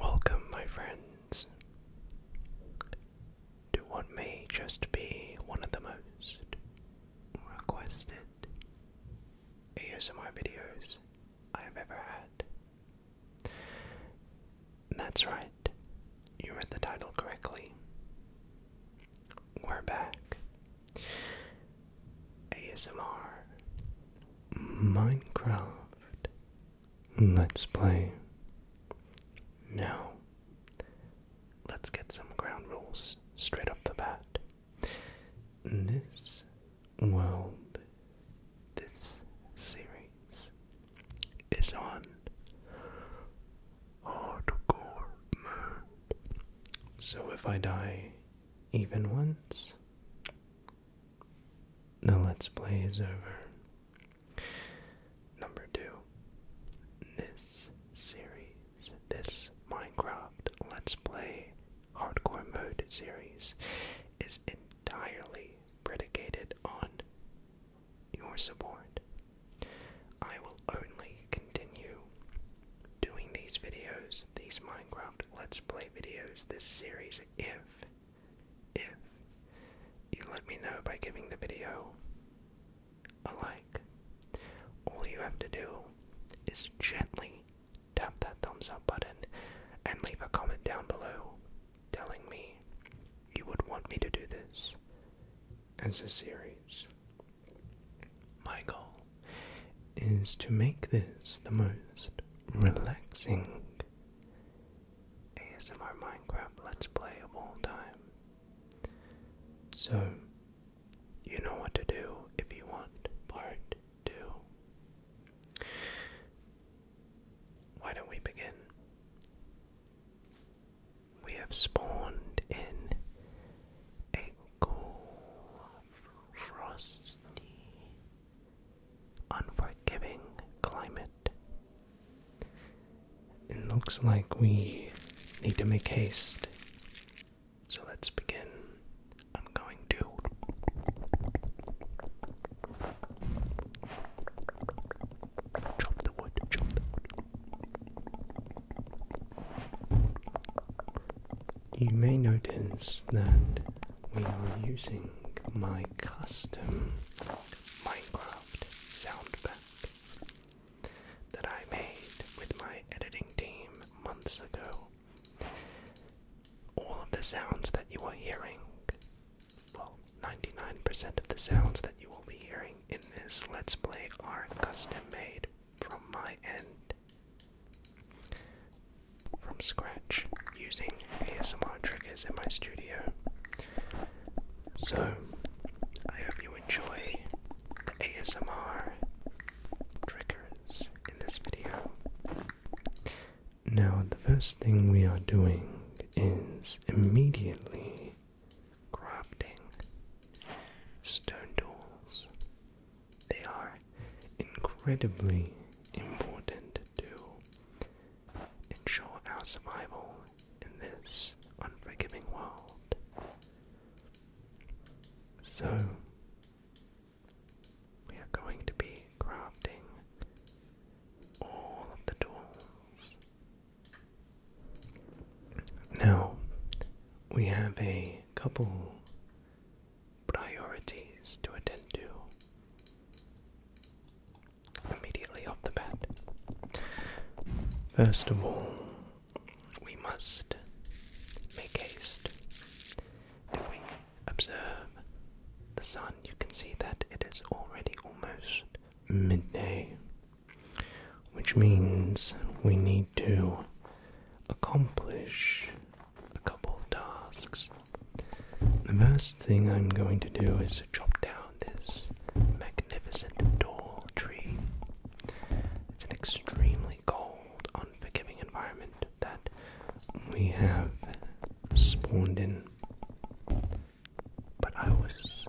Welcome, my friends, to what may just be one of the most requested ASMR videos I have ever had. That's right. You read the title correctly. We're back. ASMR. Minecraft. Let's play. Now, let's get some ground rules straight up the bat. This world. This series is on hardcore mode. So if I die even once, the let's play is over. Number two, this series, this Minecraft Let's Play Hardcore Mode series is entirely predicated on your support. I will only continue doing these videos, these Minecraft Let's Play videos, this series, if, if you let me know by giving the video a like. All you have to do is gently tap that thumbs up button, and leave a comment down below telling me you would want me to do this as a series. My goal is to make this the most relaxing ASMR Minecraft Let's Play of all time. So, you know what to do if you want part two. Why don't we begin? We have spawned in a cool, frosty, unforgiving climate. It looks like we need to make haste. So let's begin I'm going to chop the wood, chop the wood. You may notice that we are using my custom Minecraft sound pack that I made with my editing team months ago all of the sounds that you are hearing, well, 99% of the sounds that you will be hearing in this Let's Play are custom made from my end. From scratch, using ASMR triggers in my studio. So, I hope you enjoy the ASMR triggers in this video. Now, the first thing we are doing is immediately crafting stone tools. They are incredibly important to ensure our survival in this unforgiving world. So, we are going to be crafting all of the tools. Now, we have a couple priorities to attend to immediately off the bat. First of all, we must make haste. If we Observe the sun. You can see that it is already almost midday, which means we need to accomplish a couple of tasks. The first thing I'm going to do is chop down this magnificent tall tree. It's an extremely cold, unforgiving environment, that we have spawned in. But I was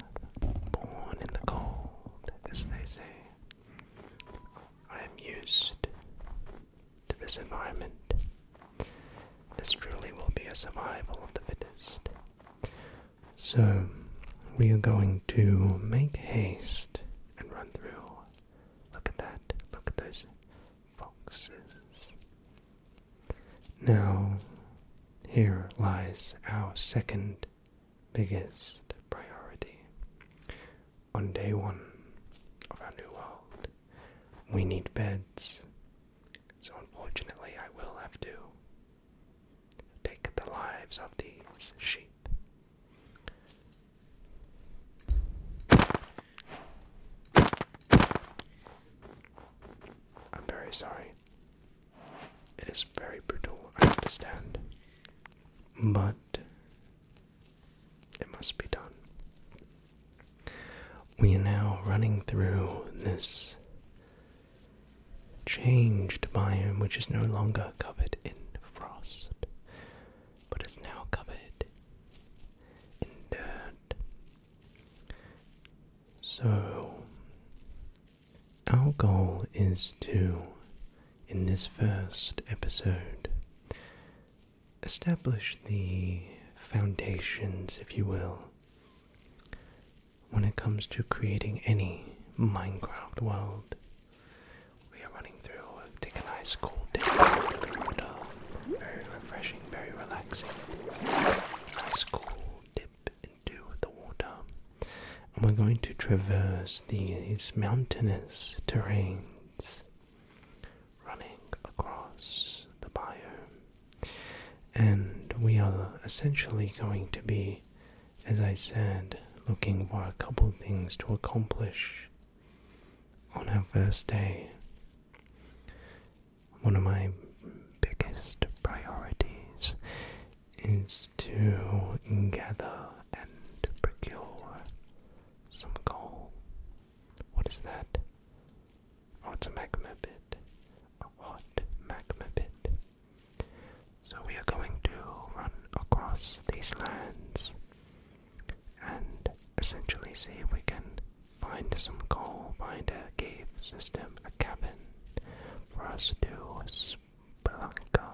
born in the cold, as they say. I am used to this environment. This truly will be a survival of the fittest. So, we are going to make haste and run through. Look at that. Look at those foxes. Now, here lies our second biggest priority. On day one of our new world, we need beds. So, unfortunately, I will have to take the lives of these sheep. I'm very sorry. It is very brutal, I understand. But it must be done. We are now running through this changed biome, which is no longer covered in frost, but is now covered in dirt so, our goal is to, in this first episode, establish the foundations, if you will, when it comes to creating any Minecraft world. We are running through, a nice cool dip into the very refreshing, very relaxing. Nice cool dip into the water. And we're going to traverse these mountainous terrains running across the biome. And we are essentially going to be, as I said, looking for a couple things to accomplish on our first day one of my biggest priorities is to gather and procure some gold. What is that? Oh, it's a magma pit. A hot magma pit. So we are going to run across these lands and essentially see if we can find some coal, find a cave system, a cabin for us to spelunker.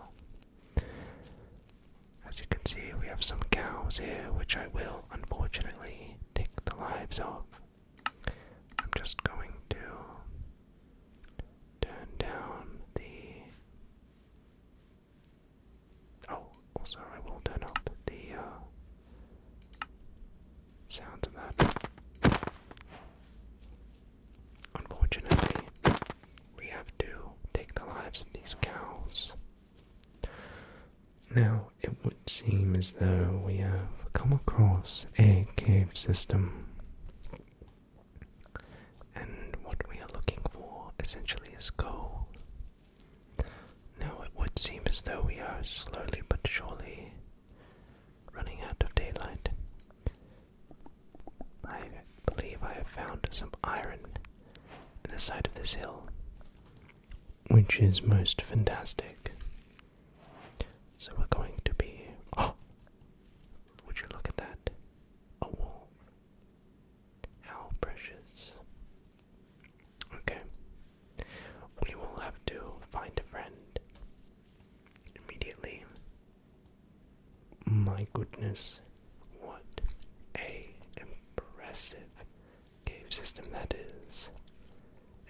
As you can see, we have some cows here, which I will unfortunately take the lives of. I'm just going to turn down the Oh, also I will turn up the uh, of that. Unfortunately, we have to take the lives of these cows. Now, it would seem as though we have come across a cave system. And what we are looking for essentially is gold. Now it would seem as though we are slowly but surely running out of daylight. I believe I have found some iron in the side of this hill, which is most fantastic. So we're going to be. Oh! Would you look at that? A wall. How precious. Okay. We will have to find a friend immediately. My goodness, what a impressive cave system that is,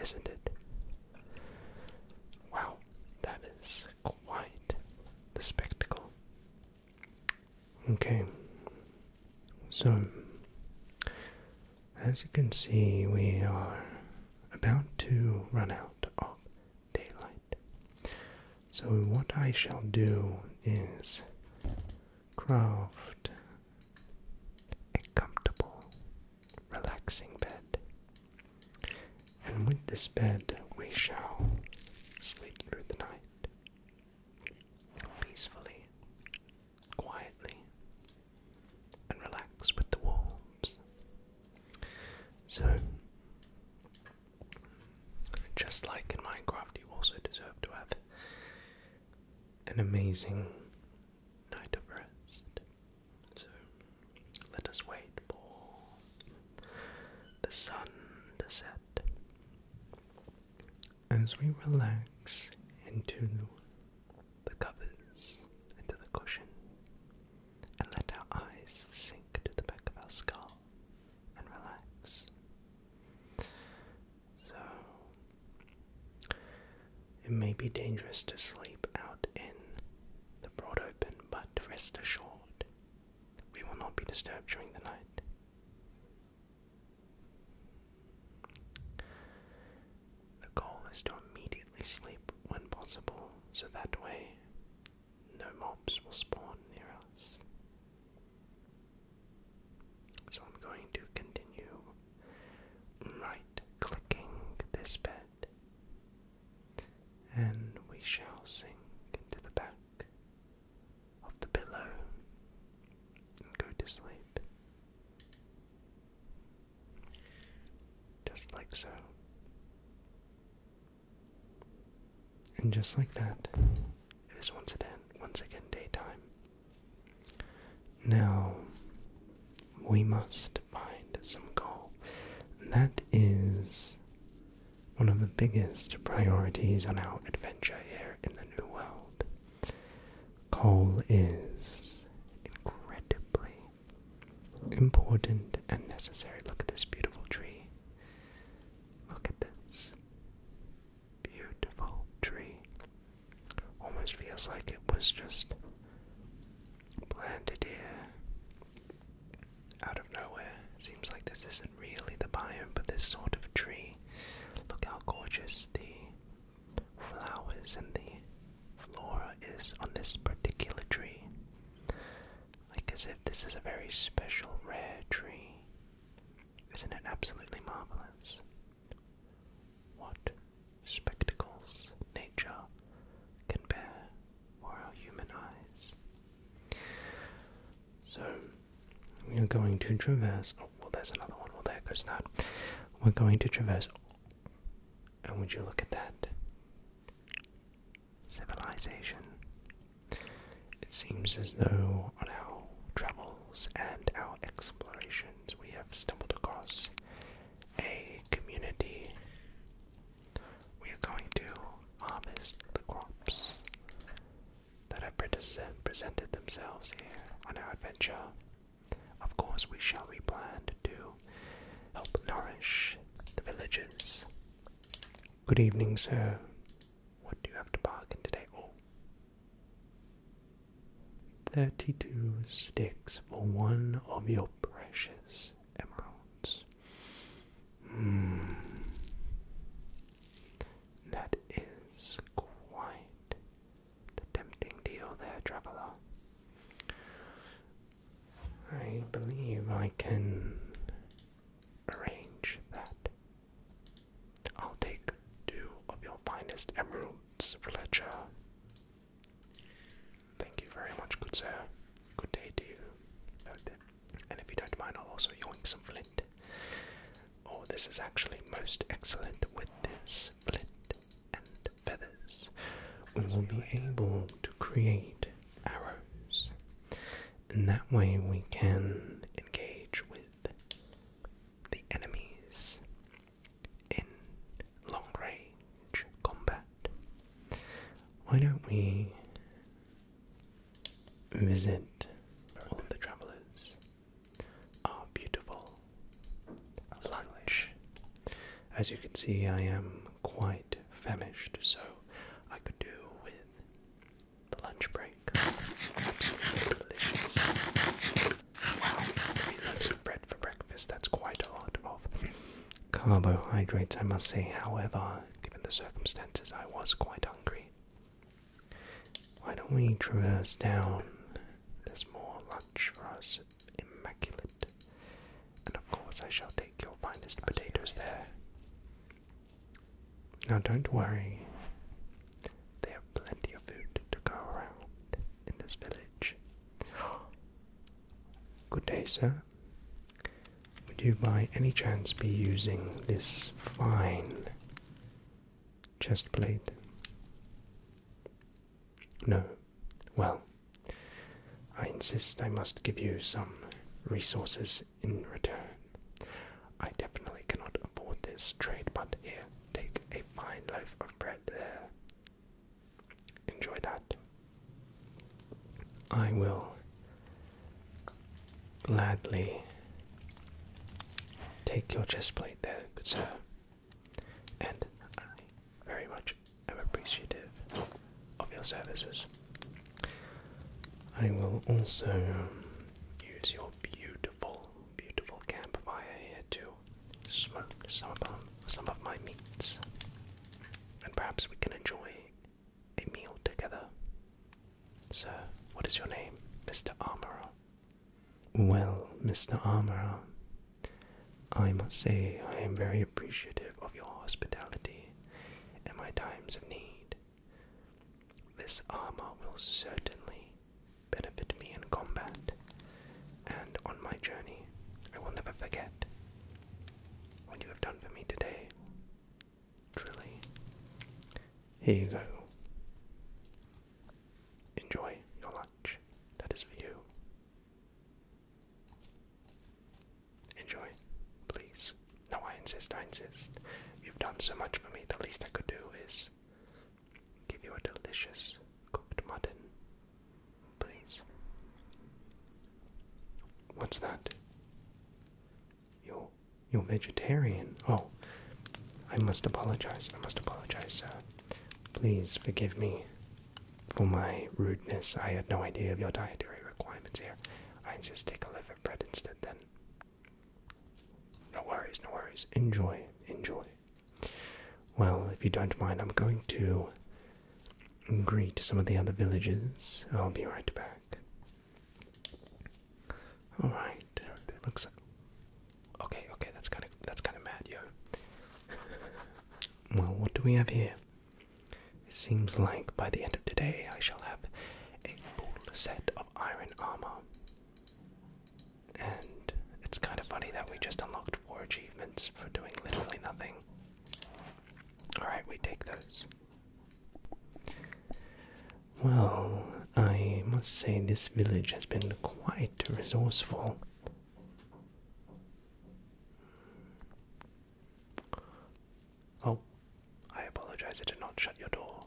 isn't it? Wow, that is quite the spectacle. Okay, so as you can see, we are about to run out of daylight. So, what I shall do is craft a comfortable, relaxing bed. And with this bed, we shall sleep through the night peacefully quietly and relax with the wolves. So, just like in Minecraft, you also deserve to have an amazing night of rest. So, let us wait for the sun to set as we relax into the covers, into the cushion, and let our eyes sink to the back of our skull and relax. So, it may be dangerous to sleep out in the broad open, but rest assured, we will not be disturbed during the night. The goal is to immediately sleep when possible, so that way no mobs will spawn near us. So I'm going to continue right clicking this bed, and we shall sink into the back of the pillow and go to sleep. Just like so. And just like that, it is once again, once again daytime. Now, we must find some goal. And that is one of the biggest priorities on our adventure here in the New World. Coal is incredibly important and necessary. Look at this beautiful tree. Look at this beautiful tree. Almost feels like it was just planted here out of nowhere. Seems like this isn't really the biome, but this sort of tree. Look how gorgeous the flowers and the flora is on this particular tree. Like as if this is a very special, rare tree. Isn't it absolutely marvelous? What spectacles nature can bear for our human eyes. So, we are going to traverse. Oh, well, there's another one. Well, there goes that. We're going to traverse. And would you look at that? Civilization. It seems as though on our travels and our explorations we have stumbled across a community. We are going to harvest the crops that have presented themselves here on our adventure. Of course, we shall be planned to help nourish the villagers. Good evening, sir. What do you have to bargain today? 32 sticks for one of your precious emeralds. Hmm. That is quite the tempting deal there, traveler. I believe I can arrange that. I'll take two of your finest emeralds, Fletcher. Thank you very much, good sir. Good day to you. And if you don't mind, I'll also yield some flint. Oh, this is actually most excellent with this flint and feathers. We will be able to create arrows, and that way we can engage with the enemies in long range combat. Why don't we visit all of the travelers our beautiful lunch. As you can see, I am quite famished, so I could do with the lunch break. Wow, three loaves bread for breakfast, that's quite a lot of carbohydrates, I must say. However, given the circumstances, I was quite hungry. Why don't we traverse down? There's more lunch for us, immaculate. And of course, I shall take your finest potatoes there. Now, don't worry, they have plenty of food to go around in this village. Good day, sir. Would you by any chance be using this fine chest plate. No. Well, I insist I must give you some resources in return. I definitely cannot afford this trade, but here, take a fine loaf of bread there. Enjoy that. I will gladly take your chest plate there, good sir. And I very much am appreciative of your services. I will also um, use your beautiful, beautiful campfire here to smoke some of, um, some of my meats. And perhaps we can enjoy a meal together. Sir, what is your name, Mr. Armorer? Well, Mr. Armorer, I must say I am very appreciative of your hospitality and my times of need. This armor will certainly benefit me in combat and on my journey. I will never forget what you have done for me today. Truly. Here you go. Enjoy your lunch. That is for you. Enjoy, please. No, I insist, I insist. You've done so much for me, the least I could do is give you a delicious cooked mutton. Please. What's that? Your you're vegetarian. Oh, I must apologize. I must apologize, sir. Please forgive me for my rudeness. I had no idea of your dietary requirements here. I insist take a loaf of bread instead then. No worries, no worries. Enjoy, enjoy. Well, if you don't mind, I'm going to greet some of the other villagers. I'll be right back. All right. It looks like. Okay, okay, that's kind of that's kind of mad, yeah. well, what do we have here? It seems like by the end of today, I shall have a full set of iron armor. And it's kind of funny that we just unlocked four achievements for doing literally nothing. Alright, we take those. Well, I must say this village has been quite resourceful. Oh, I apologize, I did not shut your door.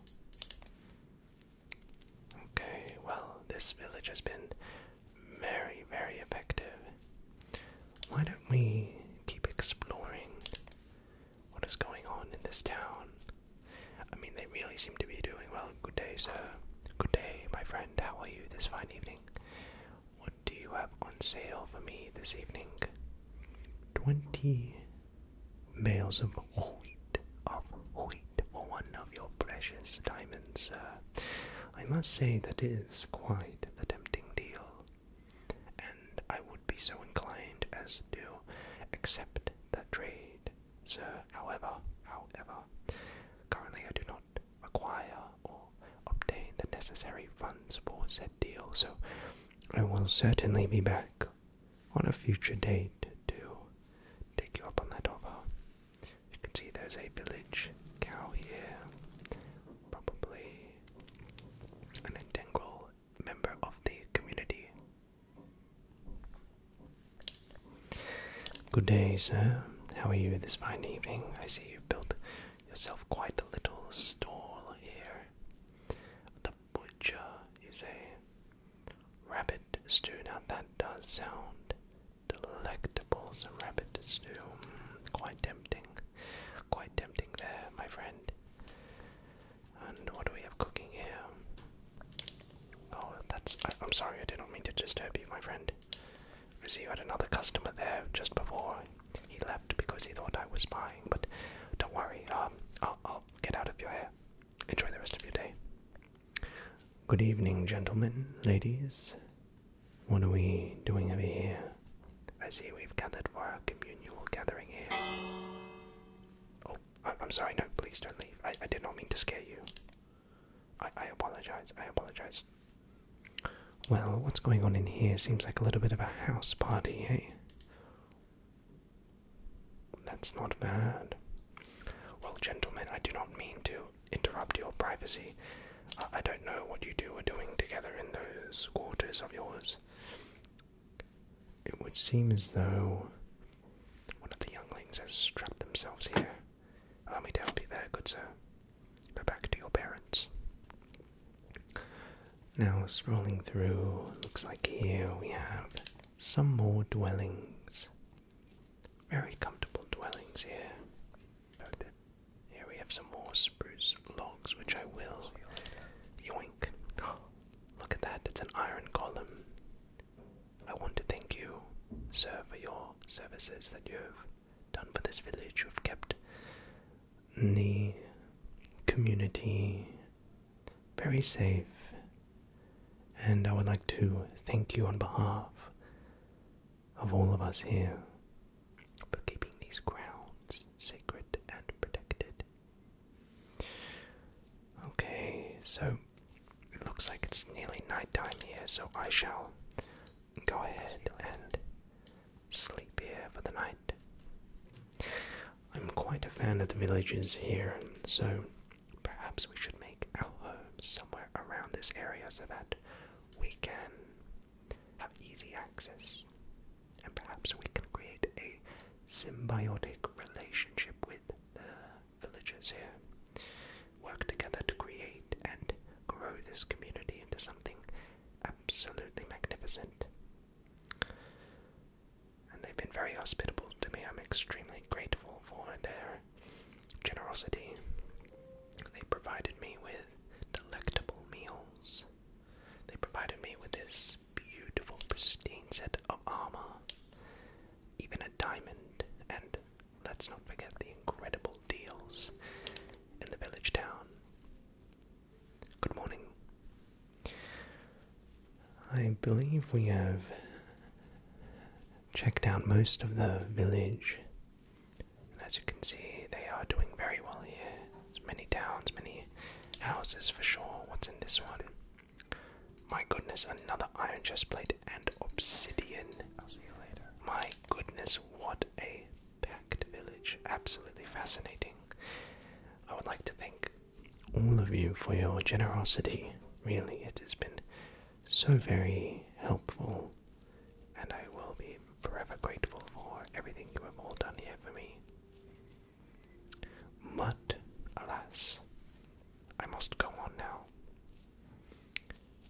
Okay, well, this village has been very, very effective. Why don't we keep exploring what is going on in this town? I mean, they really seem to be doing well. Good day, sir. Good day, my friend. How are you this fine evening? What do you have on sale for me this evening? Twenty bales of wheat, of wheat, for one of your precious diamonds, sir. I must say that is quite the tempting deal, and I would be so inclined as to accept that trade Sir, however, however, currently I do not acquire or obtain the necessary funds for said deal, so I will certainly be back on a future date to take you up on that offer. You can see there's a village cow here, probably an integral member of the community Good day, sir. How are you this fine evening? I see you've built yourself quite a little stall here. The butcher is a rabbit stew. Now that does sound delectable. So rabbit stew, hmm, quite tempting, quite tempting there, my friend. And what do we have cooking here? Oh, that's. I, am sorry, I didn't mean to disturb you, my friend. I see you had another customer there just before he left because he thought I was spying, but don't worry, um, I'll, get out of your hair. Enjoy the rest of your day. Good evening, gentlemen, ladies. What are we doing over here? I see we've gathered for a communal gathering here. Oh, I am sorry, no, please don't leave. I, I did not mean to scare you. I, I apologize, I apologize. Well, what's going on in here seems like a little bit of a house party, eh? That's not bad. Well, gentlemen, I do not mean to interrupt your privacy. I don't know what you two are doing together in those quarters of yours. It would seem as though one of the younglings has trapped themselves here. Allow me to help you there, good sir. Go back to your parents. Now, scrolling through, looks like here we have some more dwellings. Very comfortable dwellings here. Here we have some more spruce logs, which I will yoink. Look at that, it's an iron column. I want to thank you, sir, for your services that you have done for this village. You have kept the community very safe, and I would like to thank you on behalf of all of us here for keeping these grounds sacred and protected. Okay, so it looks like it's nearly nighttime here, so I shall go ahead and sleep here for the night. I'm quite a fan of the villages here, so perhaps we should make our homes somewhere around this area so that we can have easy access. And perhaps we can create a symbiotic relationship with the villagers here, work together to create and grow this community into something absolutely magnificent. And they've been very hospitable to me. I'm extremely grateful for their generosity. They provided me with delectable meals. They provided me with this beautiful, pristine set of armor, even a diamond, and let's not forget the incredible deals in the village town. Good morning. I believe we have checked out most of the village. And as you can see, they are doing very well here. many towns, many houses for sure. What's in this one? My goodness, another iron chest plate and obsidian. I'll see you later. My goodness, what a packed village. Absolutely fascinating. I would like to thank all of you for your generosity. Really, it has been so very helpful, and I will be forever grateful for everything you have all done here for me. But, alas, I must go on now.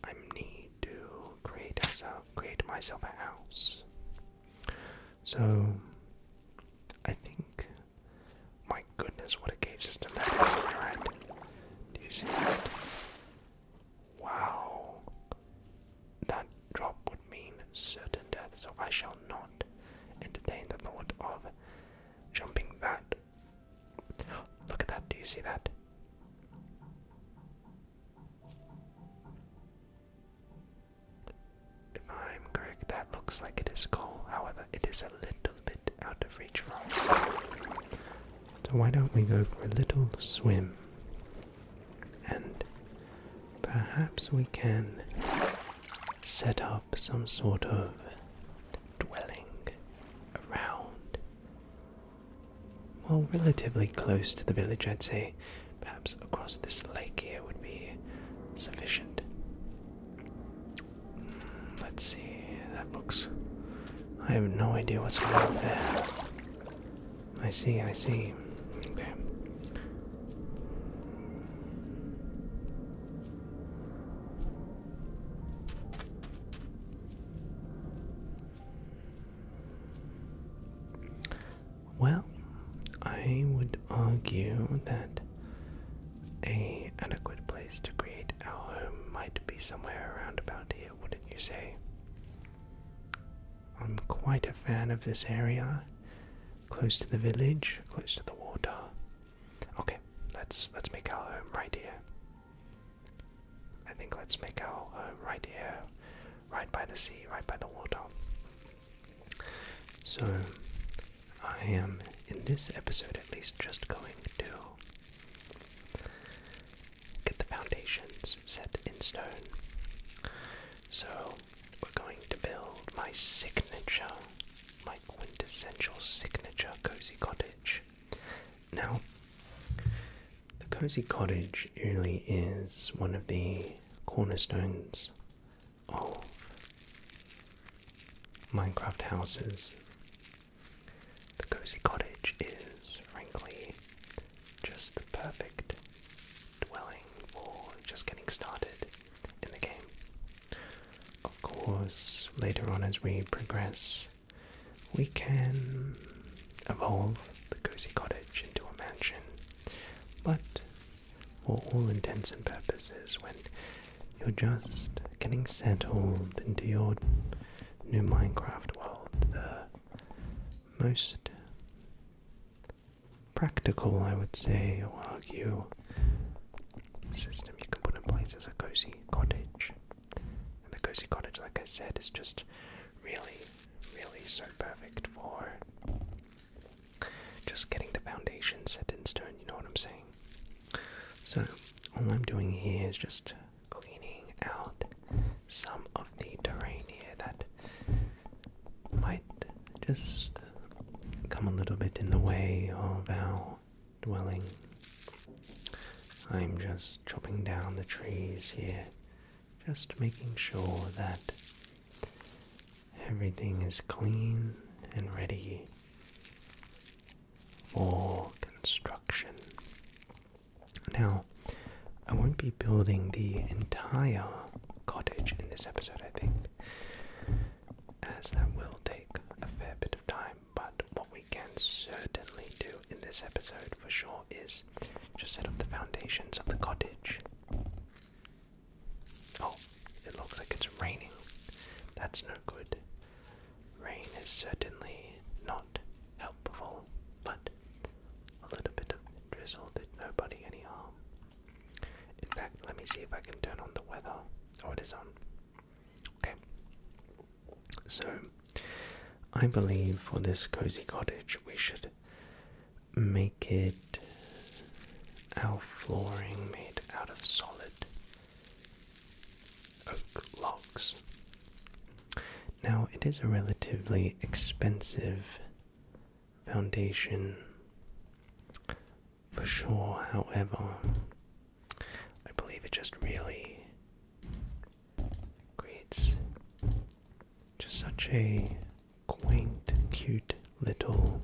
I need to create, myself, create myself a house. So, I think. My goodness, what a cave system that is, right? Do you see that? Wow. That drop would mean certain death, so I shall not entertain the thought of jumping that. Look at that, do you see that? If I'm correct, that looks like it is coal, however, it is a little bit out of reach for us. So, why don't we go for a little swim? And perhaps we can set up some sort of dwelling around. Well, relatively close to the village, I'd say. Perhaps across this lake here would be sufficient. Hmm, let's see, that looks. I have no idea what's going on there. I see, I see. Okay. Well, I would argue that a adequate place to create our home might be somewhere around about here, wouldn't you say? I'm quite a fan of this area. Close to the village, close to the water, Okay, let's let's make our home right here. I think let's make our home right here, right by the sea, right by the water. So, I am in this episode at least just going to get the foundations set in stone. So, we're going to build my signature my quintessential signature cozy cottage. Now, the cozy cottage really is one of the cornerstones of Minecraft houses. The cozy cottage is, frankly, just the perfect dwelling for just getting started in the game. Of course, later on as we progress, we can evolve the cozy cottage into a mansion, but for all intents and purposes, when you're just getting settled into your new Minecraft world, the most practical, I would say, or argue, system you can put in place as a cozy cottage. And the cozy cottage, like I said, is just really, really so perfect for just getting the foundation set in stone, you know what I'm saying? So, all I'm doing here is just cleaning out some of the terrain here that might just come a little bit in the way of our dwelling. I'm just chopping down the trees here, just making sure that everything is clean and ready for construction. Now, I won't be building the entire cottage in this episode, I think as that will take a fair bit of time. But what we can certainly do in this episode for sure is just set up the foundations of the cottage. Oh, it looks like it's raining. That's no good. Rain is certainly not helpful, but a little bit of drizzle did nobody any harm. In fact, let me see if I can turn on the weather. Oh, it is on. Okay. So, I believe for this cozy cottage, we should make it our flooring made out of solid oak logs. Now, it is a relatively expensive foundation for sure. However, I believe it just really creates just such a quaint, cute little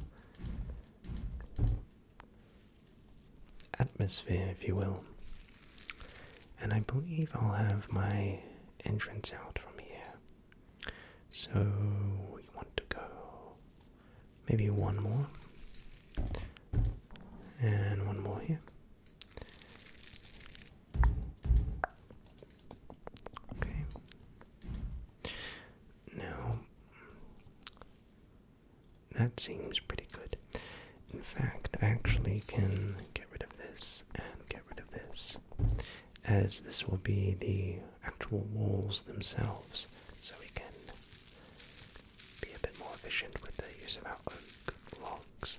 atmosphere, if you will. And I believe I'll have my entrance out from here. So we want to go maybe one more, and one more here. Okay. Now, that seems pretty good. In fact, I actually can get rid of this and get rid of this, as this will be the actual walls themselves so we can be a bit more efficient with the use of our oak logs.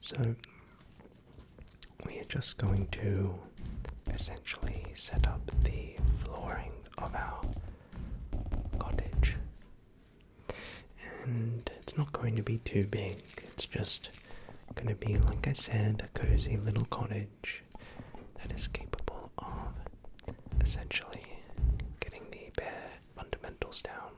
So we are just going to essentially set up the flooring of our cottage. And it's not going to be too big, it's just going to be, like I said, a cozy little cottage that is capable of essentially getting the bare fundamentals down.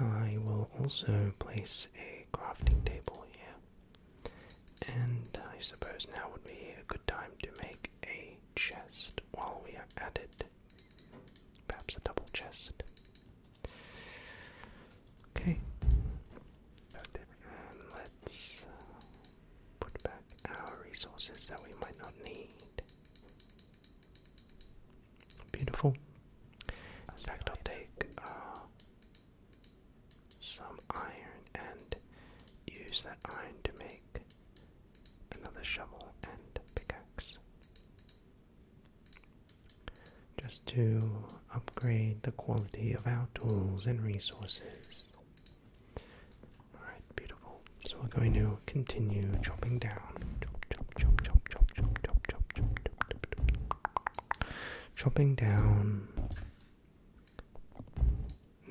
I will also place a crafting table here, and I suppose now would be a good time to make a chest while we are at it. Perhaps a double chest. Okay, so let's uh, put back our resources that we might not need. Beautiful. In fact, I'll take uh, some iron and use that iron to make another shovel and pickaxe. Just to upgrade the quality of our tools and resources. Alright, beautiful. So we're going to continue chopping down. Chop, chop, chop, chop, chop, chop, chop, chop, Chopping down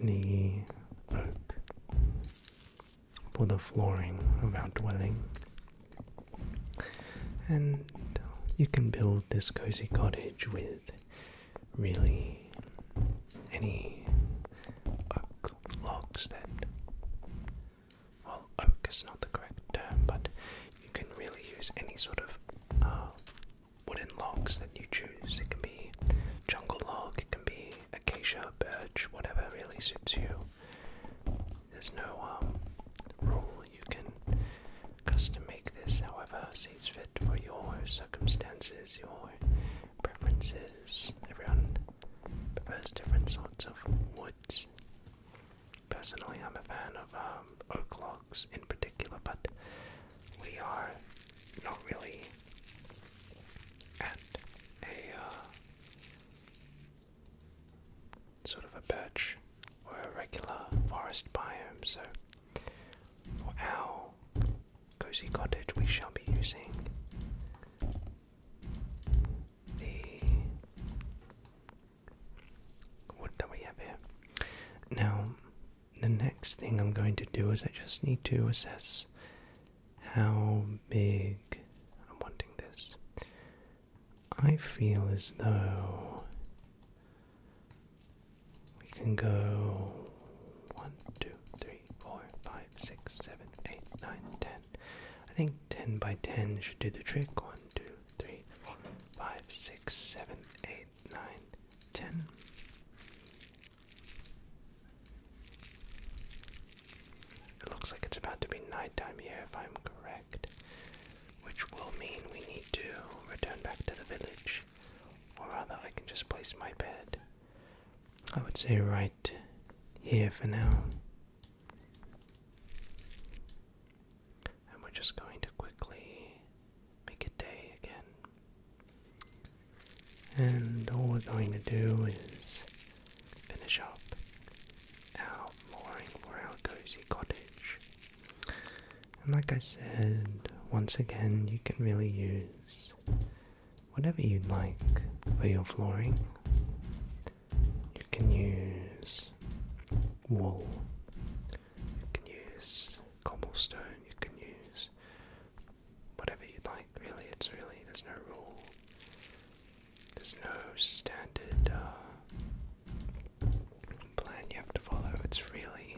the oak for the flooring of our dwelling. And you can build this cozy cottage with really any oak logs that well oak is not the correct term but you can really use any sort of uh, wooden logs that you choose it can be jungle log it can be acacia birch whatever really suits you there's no um, rule you can custom make this however sees fit for your circumstances, your preferences. Everyone prefers different sorts of woods. Personally, I'm a fan of um, oak logs in particular, but we are not really at a uh, sort of a birch or a regular forest biome, so for our cozy cottage, we shall be using the wood that we have here. Now, the next thing I'm going to do is I just need to assess how big I'm wanting this. I feel as though we can go 1, 2, 3, 4, 5, 6, 7, 8, 9, 10. I think 10 by 10 should do the trick. 1, 2, 3, 4, 5, 6, 7, 8, 9, 10. It looks like it's about to be nighttime here, if I'm correct, which will mean we need to return back to the village or rather I can just place my bed. I would say right here for now. And we're just going to quickly make it day again. And all we're going to do is finish up our mooring for our cozy cottage. And like I said, once again, you can really use whatever you'd like for your flooring. You can use wool, you can use cobblestone, you can use whatever you'd like, really. It's really, there's no rule, there's no standard uh, plan you have to follow. It's really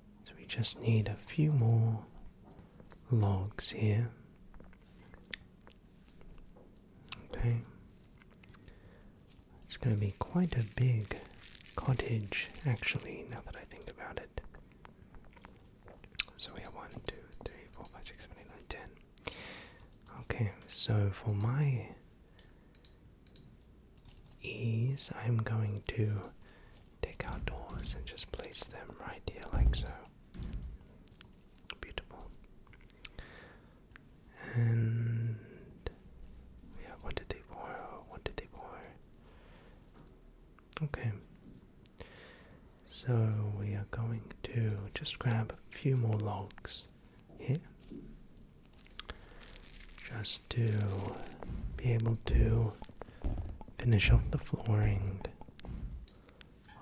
So we just need a few more logs here. Okay. It's going to be quite a big cottage, actually, now that I think about it. So we have 1, 2, 3, 4, 5, 6, 7, 8, 9, 10. Okay, so for my ease, I'm going to take out doors and just place them right here, like so. Beautiful. And we have one, two, three, four, one, two, three, four. Okay. So we are going to just grab a few more logs here. Just to be able to finish off the flooring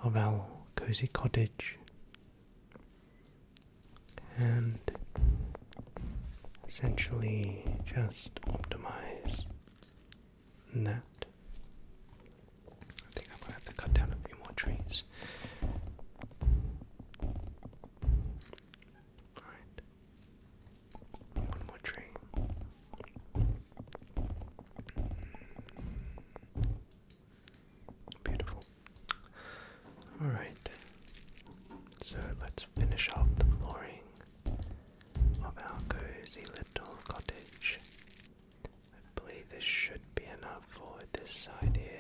of our cozy cottage and essentially just optimize that. I think I'm gonna have to cut down a few more trees. Alright. One more tree. Beautiful. Alright. So let's finish off the flooring of our cozy little cottage. I believe this should be enough for this side here.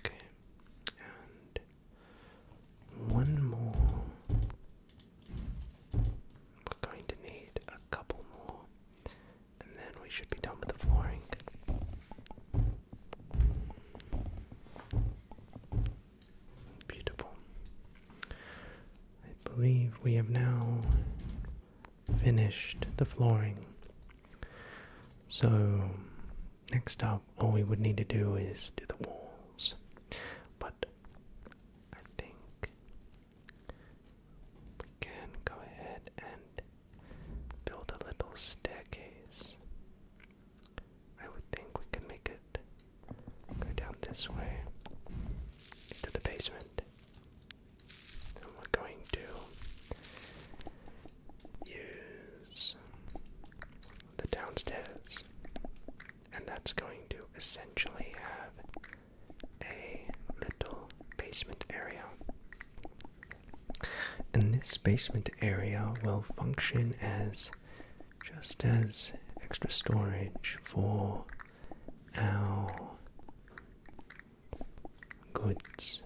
Okay, and one more. We're going to need a couple more, and then we should be done with the flooring. Beautiful. I believe we have now finished the flooring. So, next up, all we would need to do is do the walls. But I think we can go ahead and build a little staircase. I would think we can make it go down this way to the basement. And we're going to use the downstairs. And that's going to essentially have a little basement area. And this basement area will function as just as extra storage for our goods,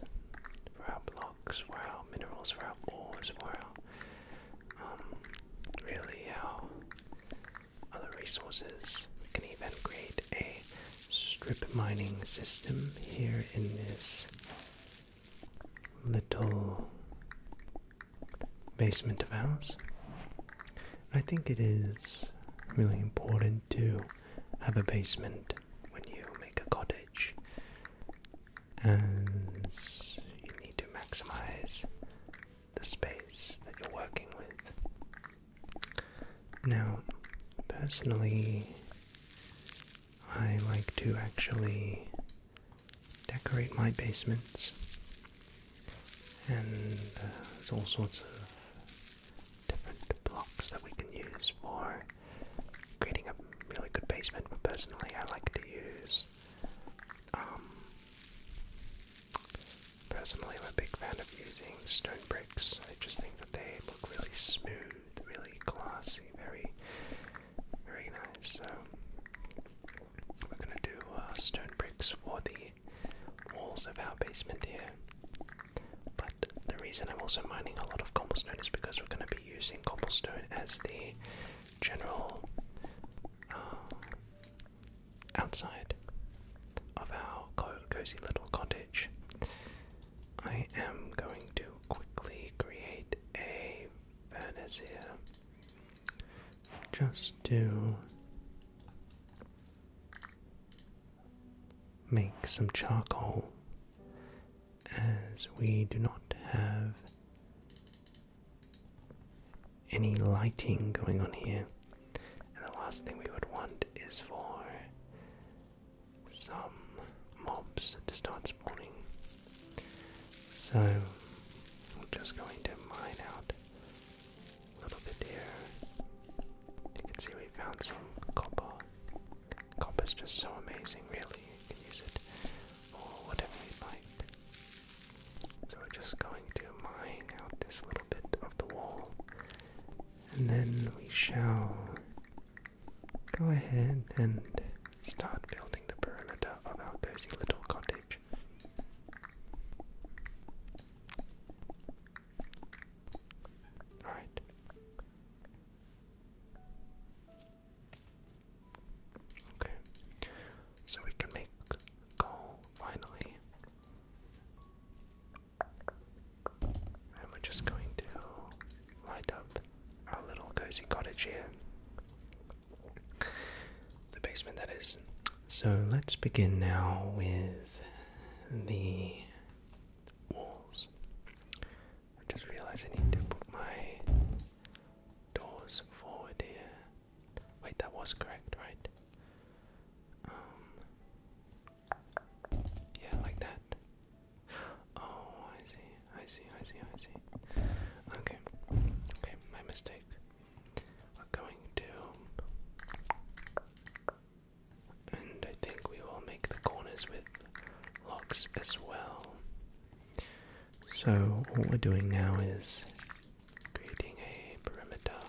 for our blocks, for our minerals, for our ores, for our um, really our other resources. We can even create a strip mining system here in this little basement of ours. I think it is really important to have a basement when you make a cottage, and you need to maximize the space that you're working with. Now, personally, I like to actually decorate my basements, and uh, there's all sorts of different blocks that we can use for creating a really good basement. But personally, I like to use. Um, personally, I'm a big fan of using stone bricks. I just think that they look really smooth, really classy, very, very nice. So we're gonna do uh, stone bricks for the walls of our basement here. But the reason I'm also mining a lot of cobblestone is because we're gonna be using cobblestone as the general uh, outside of our cozy little cottage. I am going to quickly create a furnace here just to make some charcoal as we do not have any lighting going on here. And the last thing we would want is for some mobs to start spawning. So I'm just going to mine out a little bit here. You can see we found some copper. Copper's just so amazing, really. You can use it for whatever you like. So we're just going to mine out this little bit of the wall. And then we shall go ahead and Start building the perimeter of our cozy little cottage. Alright. Okay. So we can make coal finally. And we're just going to light up our little cozy cottage here the basement, that is. So let's begin now with the walls. I just realized I need to put my doors forward here. Wait, that was correct, right? Um, yeah, like that. Oh, I see. I see, I see, I see. Okay, okay, my mistake. We're going to. And I think we will make the corners with locks as well. So, what we're doing now is creating a perimeter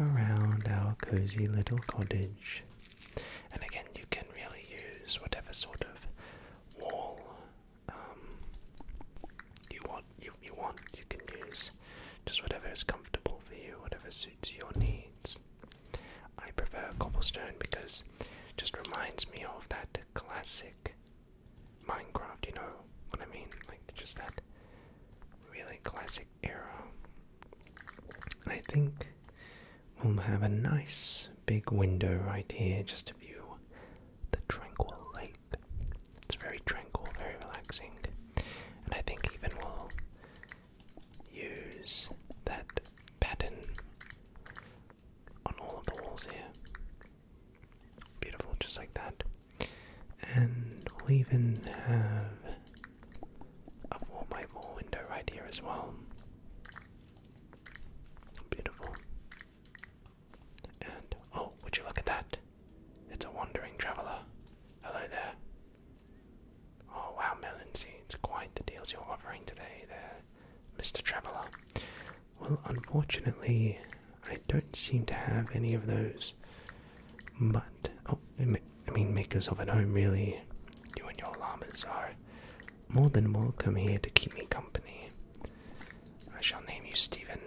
around our cozy little cottage. And again, you can really use whatever sort of wall um, you want you you want you can use just whatever is comfortable for you, whatever suits your needs. I prefer cobblestone because it just reminds me of that classic Minecraft. You know what I mean? Like just that really classic era. And I think we'll have a nice big window right here, just to view the tranquil lake. It's very tranquil, very relaxing, and I think even we'll use that pattern on all of the walls here. Beautiful, just like that. And we'll even have a 4x4 window right here as well. Beautiful oh, would you look at that? It's a wandering traveler. Hello there. Oh wow, Melancy, it's quite the deals you're offering today there, Mr. Traveler. Well, unfortunately, I don't seem to have any of those. But, oh, I mean, makers of at home, really. You and your llamas are more than welcome here to keep me company. I shall name you Stephen.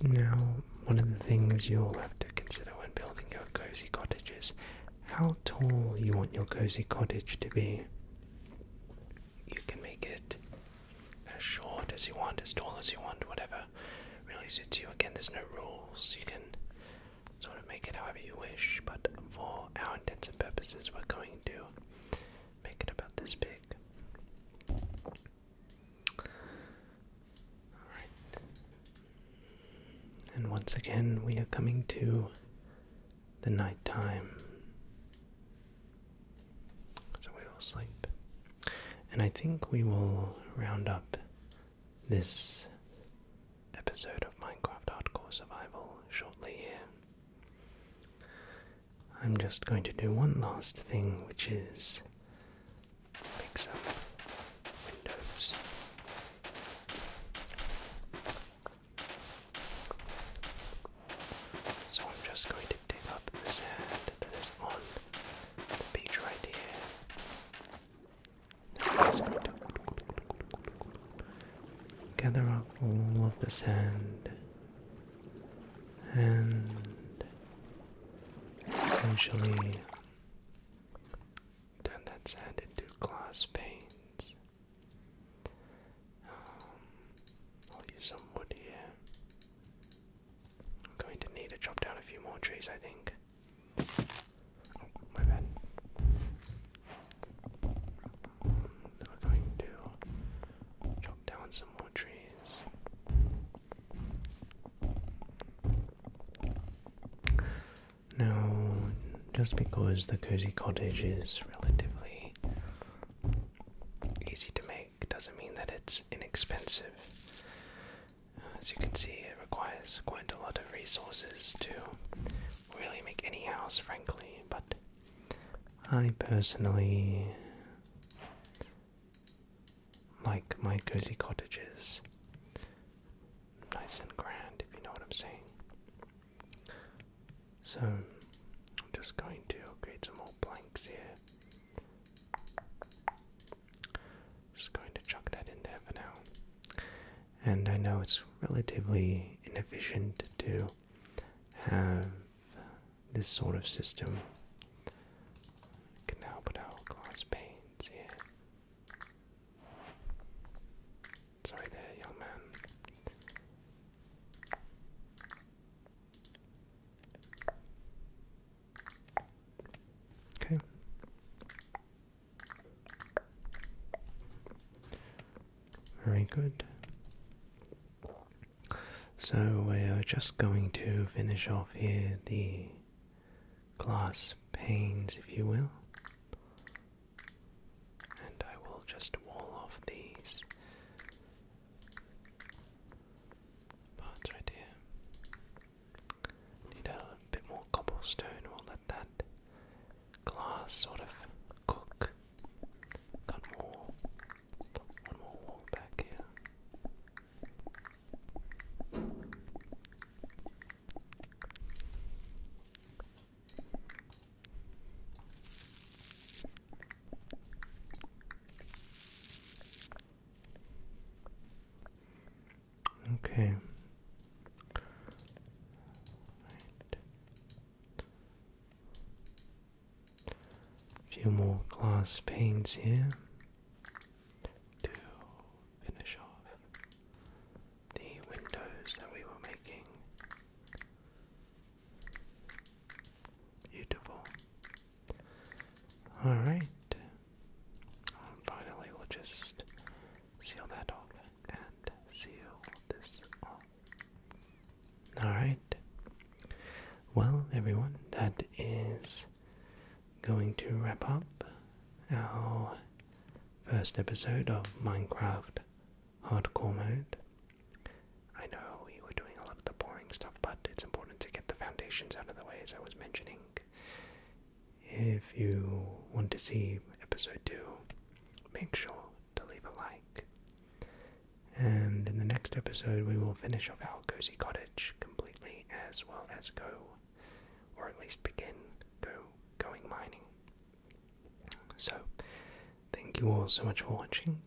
Now, one of the things you'll have to consider when building your cozy cottage is how tall you want your cozy cottage to be. You can make it as short as you want, as tall as you want, whatever really suits you. Again, there's no rules. You can sort of make it however you wish, but for our intents and purposes, we're going to make it about this big. Alright. And once again, we are coming to the night time. So we will sleep. And I think we will round up this episode of Minecraft Hardcore Survival shortly here. I'm just going to do one last thing, which is make some windows. So I'm just going to dig up the sand that is on the beach right here. Gather up all of the sand and essentially turn that sand into glass panes. Um, I'll use some wood here. I'm going to need to chop down a few more trees, I think. Oh, we're going to chop down some more trees. Now, just because the cozy cottage is relatively easy to make doesn't mean that it's inexpensive. As you can see, it requires quite a lot of resources to really make any house, frankly, but I personally like my cozy cottages. Nice and grand, if you know what I'm saying. So, I'm just going to create some more blanks here. Just going to chuck that in there for now and I know it's relatively inefficient to have this sort of system. We can now put out glass panes here. Sorry there, young man. Okay. Very good. So we're just going to finish off here the glass panes, if you will. And I will just wall off these parts right here. Need a bit more cobblestone, we'll let that glass sort of cook. Got more. One more walk back here. Okay. A few more glass panes here to finish off the windows that we were making. Beautiful. Alright. Finally, we'll just seal that off and seal this off. Alright. Well, everyone, that is going to wrap up our first episode of Minecraft Hardcore Mode. I know we were doing a lot of the boring stuff, but it's important to get the foundations out of the way, as I was mentioning if you want to see episode 2, make sure to leave a like. And in the next episode, we will finish off our cozy cottage completely, as well as go, or at least begin, go going mining. So, thank you all so much for watching.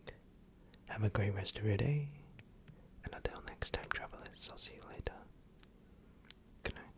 Have a great rest of your day, and until next time, travelers, I'll see you later. Good night.